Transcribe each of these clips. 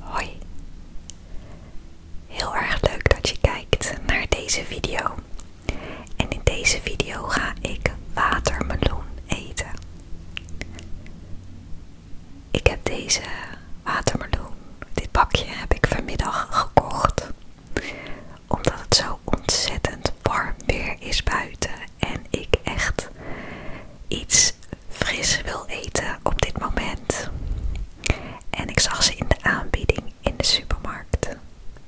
Hoi, heel erg leuk dat je kijkt naar deze video. En in deze video ga ik watermeloen eten. Ik heb deze watermeloen, dit bakje heb ik vanmiddag gekocht, omdat het zo ontzettend warm weer is buiten en ik echt iets fris wil eten op dit moment. En ik zag ze in de aanbieding in de supermarkt.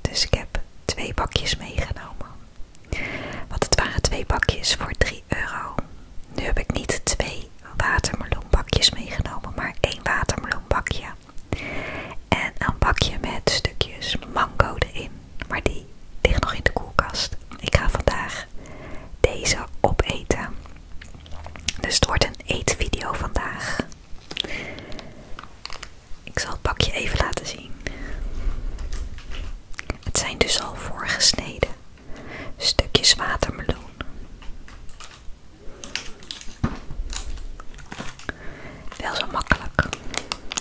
Dus ik heb twee bakjes meegenomen. Want het waren twee bakjes voor 3 euro. Nu heb ik niet twee watermeloenbakjes meegenomen, maar één watermeloenbakje. En een bakje met stukjes mango erin. Maar die ligt nog in de koelkast. Ik ga vandaag deze opeten. Dus het wordt een eetvideo vandaag. Ik zal het pakje even laten zien. Het zijn dus al voorgesneden stukjes watermeloen. Wel zo makkelijk.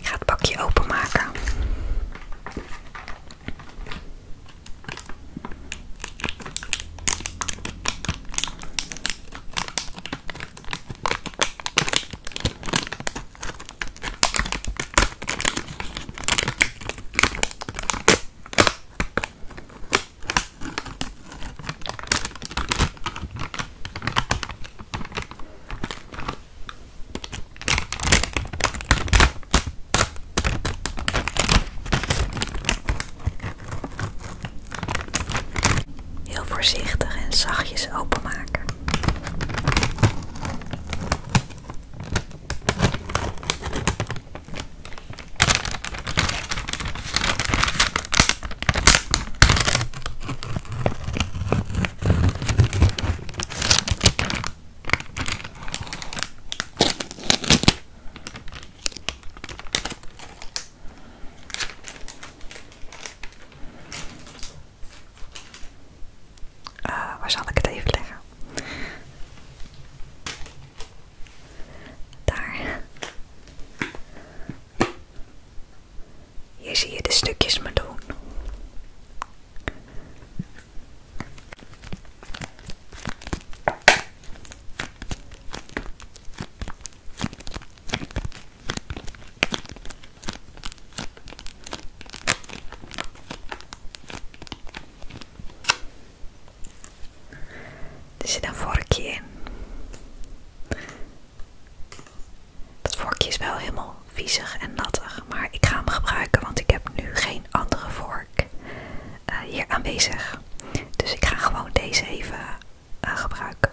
Ik ga het pakje openmaken. Heel voorzichtig en zachtjes openmaken. Eh, waar zal ik het even leggen? Daar. Hier zie je de stukjes maar doen. Er zit een vorkje in. Dat vorkje is wel helemaal viezig en nattig, maar ik ga hem gebruiken, want ik heb nu geen andere vork eh, hier aanwezig. Dus ik ga gewoon deze even eh, gebruiken.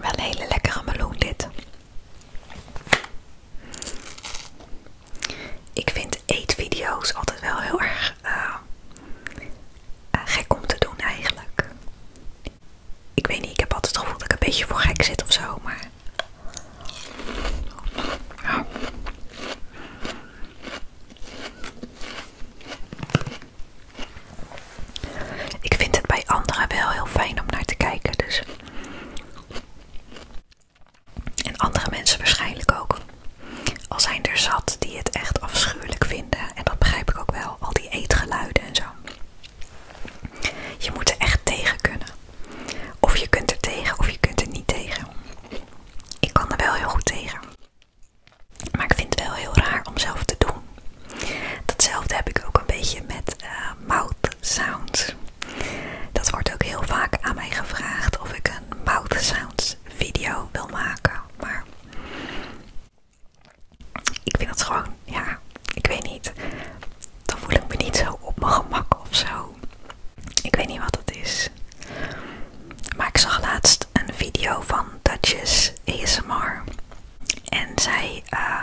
Wel hele lekkere meloen dit. Ik vind eetvideo's altijd wel heel erg eh, eh, gek om te doen eigenlijk. Ik weet niet, ik heb altijd het gevoel dat ik een beetje voor gek zit of zo, maar. Ik vind het bij anderen wel heel fijn om naar te kijken, dus. En andere mensen waarschijnlijk ook. Al zijn er zat die het echt afschuwelijk vinden. En dat begrijp ik ook wel al die eetgeluiden en zo. Je moet er echt tegen kunnen. Of je kunt er tegen of je kunt er niet tegen. Ik kan er wel heel goed tegen. Maar ik vind het wel heel raar om zelf te doen. Datzelfde heb ik ook een beetje met eh, mouth sounds. Dat wordt ook heel vaak aan mij gevraagd of ik een mouth sounds video wil maken. Maar ik vind dat gewoon, ja, ik weet niet. Dan voel ik me niet zo op mijn gemak of zo. Ik weet niet wat dat is. Maar ik zag laatst een video van Duchess ASMR. En zij eh,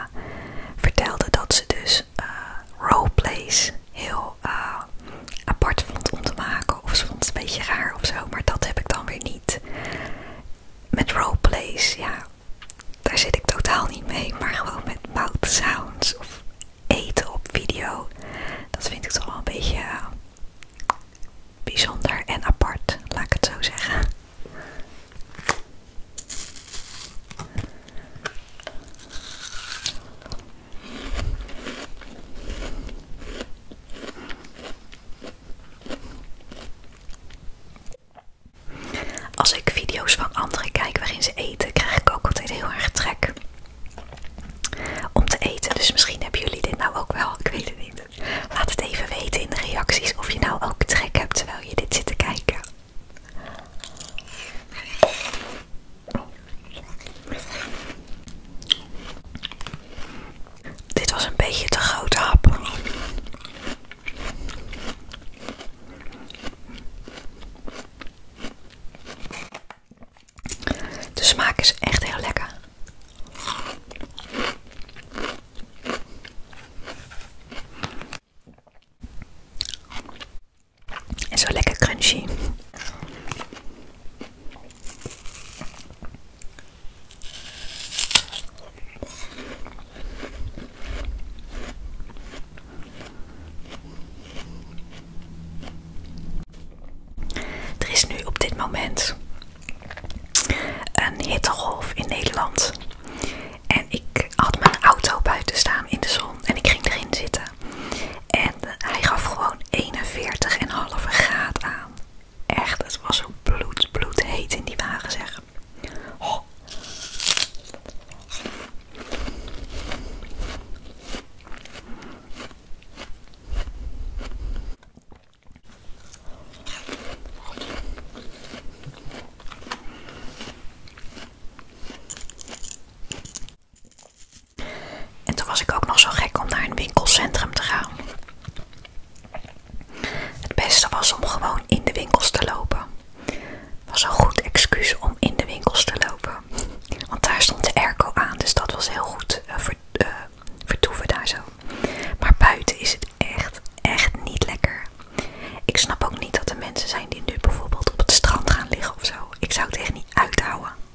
vertelde dat ze dus eh, roleplays heel eh, apart vond om te maken. Of ze vond het een beetje raar of zo. Maar dat heb ik dan weer niet met roleplays, ja, daar zit ik totaal niet mee. Maar gewoon met mouth sounds of eten op video. Dat vind ik toch wel een beetje eh, bijzonder en apart, laat ik het zo zeggen. Als ik video's van anderen kijk waarin ze eten, krijg ik ook altijd heel erg trek om te eten. Dus misschien hebben jullie dit nou ook wel, ik weet het niet. Laat het even weten in de reacties of je nou ook trek hebt terwijl je dit zit te kijken. Dit was een beetje te grote hap. De smaak is echt heel lekker. En zo lekker crunchy. Er is nu op dit moment een hittegolf in Nederland. En ik had mijn auto buiten staan in de zon en ik ging erin zitten. En hij gaf gewoon 41,5 graad aan. Echt, het was zo bloed, bloed in die wagen zeg. En toen was ik ook nog zo gek om naar een winkelcentrum te gaan. Het beste was om gewoon in de winkels te lopen. Was een goed excuus om in de winkels te lopen. Want daar stond de airco aan, dus dat was heel goed eh, eh, vertoeven daar zo. Maar buiten is het echt, echt niet lekker. Ik snap ook niet dat er mensen zijn die nu bijvoorbeeld op het strand gaan liggen of zo. Ik zou het echt niet uithouden.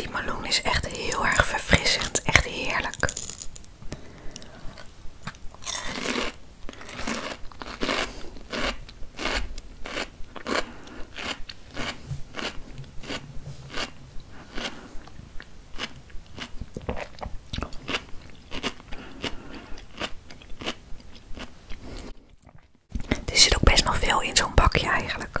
Die meloen is echt heel erg verfrissend, echt heerlijk. Er zit ook best nog veel in zo'n bakje eigenlijk.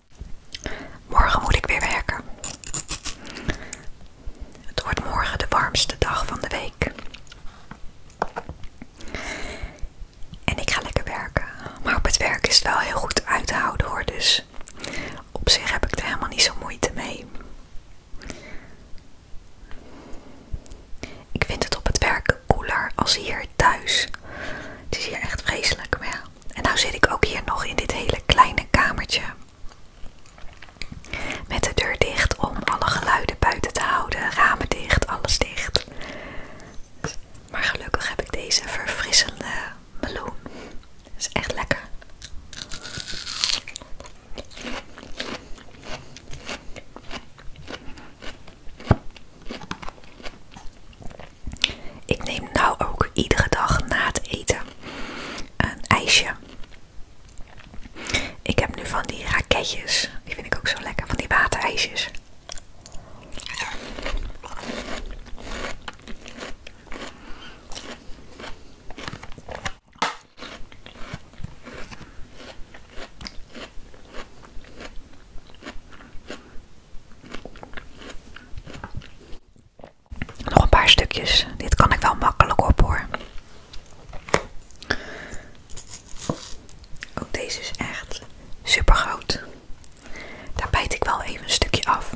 Morgen moet ik weer werken. Het wordt morgen de warmste dag van de week. En ik ga lekker werken. Maar op het werk is het wel heel goed uit te houden hoor. Dus op zich heb ik er helemaal niet zo moeite mee. Ik vind het op het werk koeler als hier thuis. Het is hier echt vreselijk, maar en nou zit ik ook hier nog in dit hele kleine kamertje. Met de deur dicht om alle geluiden buiten te houden, ramen dicht, alles dicht. Maar gelukkig heb ik deze verfrissende meloen. is echt lekker. Ik neem nou ook iedere dag na het eten een ijsje. Ik heb nu van die raketjes. Die vind ik ook zo lekker. Van die waterijsjes. Nog een paar stukjes. Dit kan ik wel makkelijk op hoor. Ook deze is echt super groot. Daar bijt ik wel even een stukje af.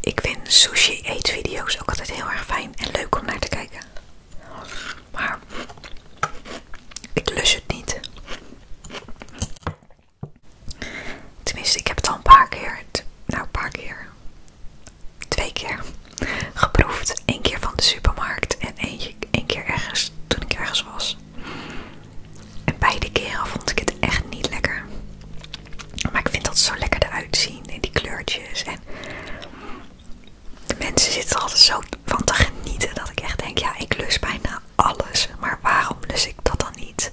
Ik vind sushi videos ook altijd heel erg fijn en leuk om naar te kijken. Maar ik lus het niet. Tenminste, ik heb het al een paar keer. Nou, een paar keer twee keer geproefd. Eén keer van de supermarkt en één, keer ergens toen ik ergens was. En beide keren vond ik het echt niet lekker. Maar ik vind dat zo lekker eruit zien en die kleurtjes. En de mensen zitten altijd zo van te genieten dat ik echt denk, ja, ik lus bijna alles. Maar waarom lus ik dat dan niet?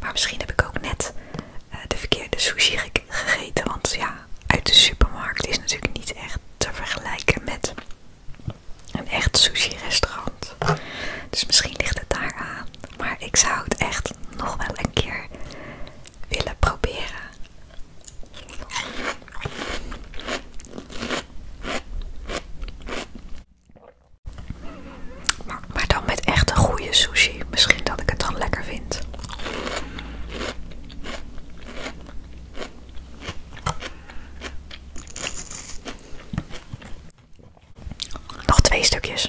Maar misschien heb ik ook net eh, de verkeerde sushi gegeten. Want ja, uit de supermarkt is natuurlijk niet echt te vergelijken met een echt sushi-restaurant. Dus misschien ligt het daar aan. Maar ik zou het echt nog wel een keer willen proberen. Maar, maar dan met echte goede sushi. Misschien dat ik het dan lekker vind. Nog twee stukjes.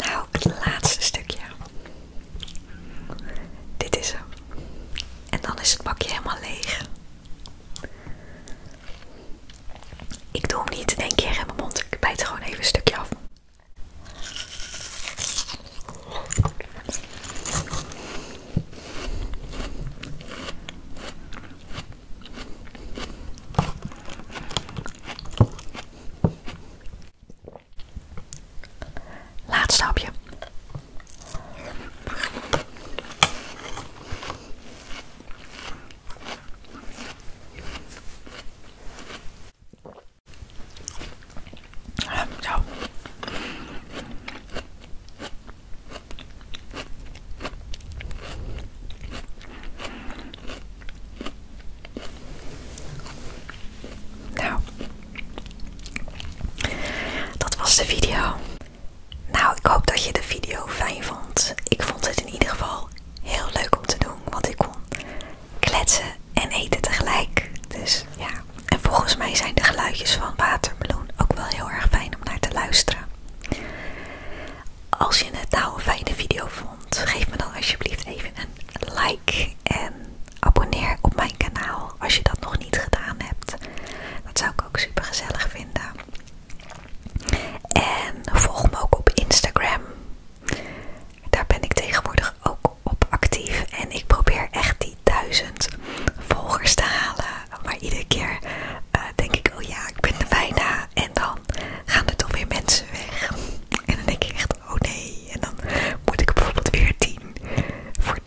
Nou, het laatste stukje. Dit is hem. En dan is het bakje helemaal leeg. Ik doe hem niet één keer in mijn mond. Ik bijt gewoon even een stukje af. Laatste stapje. Zo. Nou, dat was de video. Nou, ik hoop dat je de video fijn vond. Ik vond het in ieder geval heel leuk om te doen, want ik kon kletsen en eten tegelijk. Dus ja, en volgens mij zijn de geluidjes van watermeloen ook wel heel erg fijn om naar te luisteren. Als je het nou een fijne video vond, geef me dan alsjeblieft even een like en abonneer op mijn kanaal als je dat nog niet gedaan hebt. Dat zou ik ook super gezellig vinden. En volg me ook op Instagram. Daar ben ik tegenwoordig ook op actief. En ik probeer echt die duizend volgers te halen. Maar iedere keer eh, denk ik, oh ja, ik ben er bijna. En dan gaan er toch weer mensen weg. En dan denk ik echt, oh nee. En dan moet ik bijvoorbeeld weer tien. Voor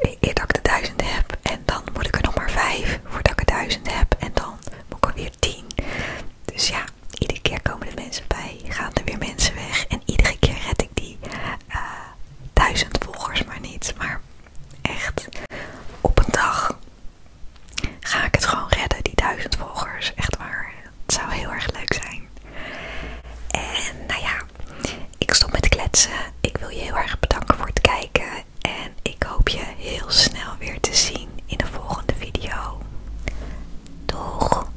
eer dat ik de duizend heb. En dan moet ik er nog maar vijf voordat ik er duizend heb. En dan moet ik er weer tien. Dus ja, iedere keer komen er mensen bij, gaan er weer mensen weg. En iedere keer red ik die duizend volgers maar niet. Maar echt, op een dag ga ik het gewoon redden, die duizend volgers. Echt waar, het zou heel erg leuk zijn. En nou ja, ik stop met kletsen. Ik wil je heel erg bedanken voor het kijken. En ik hoop je heel snel weer te zien in de volgende video. Doeg!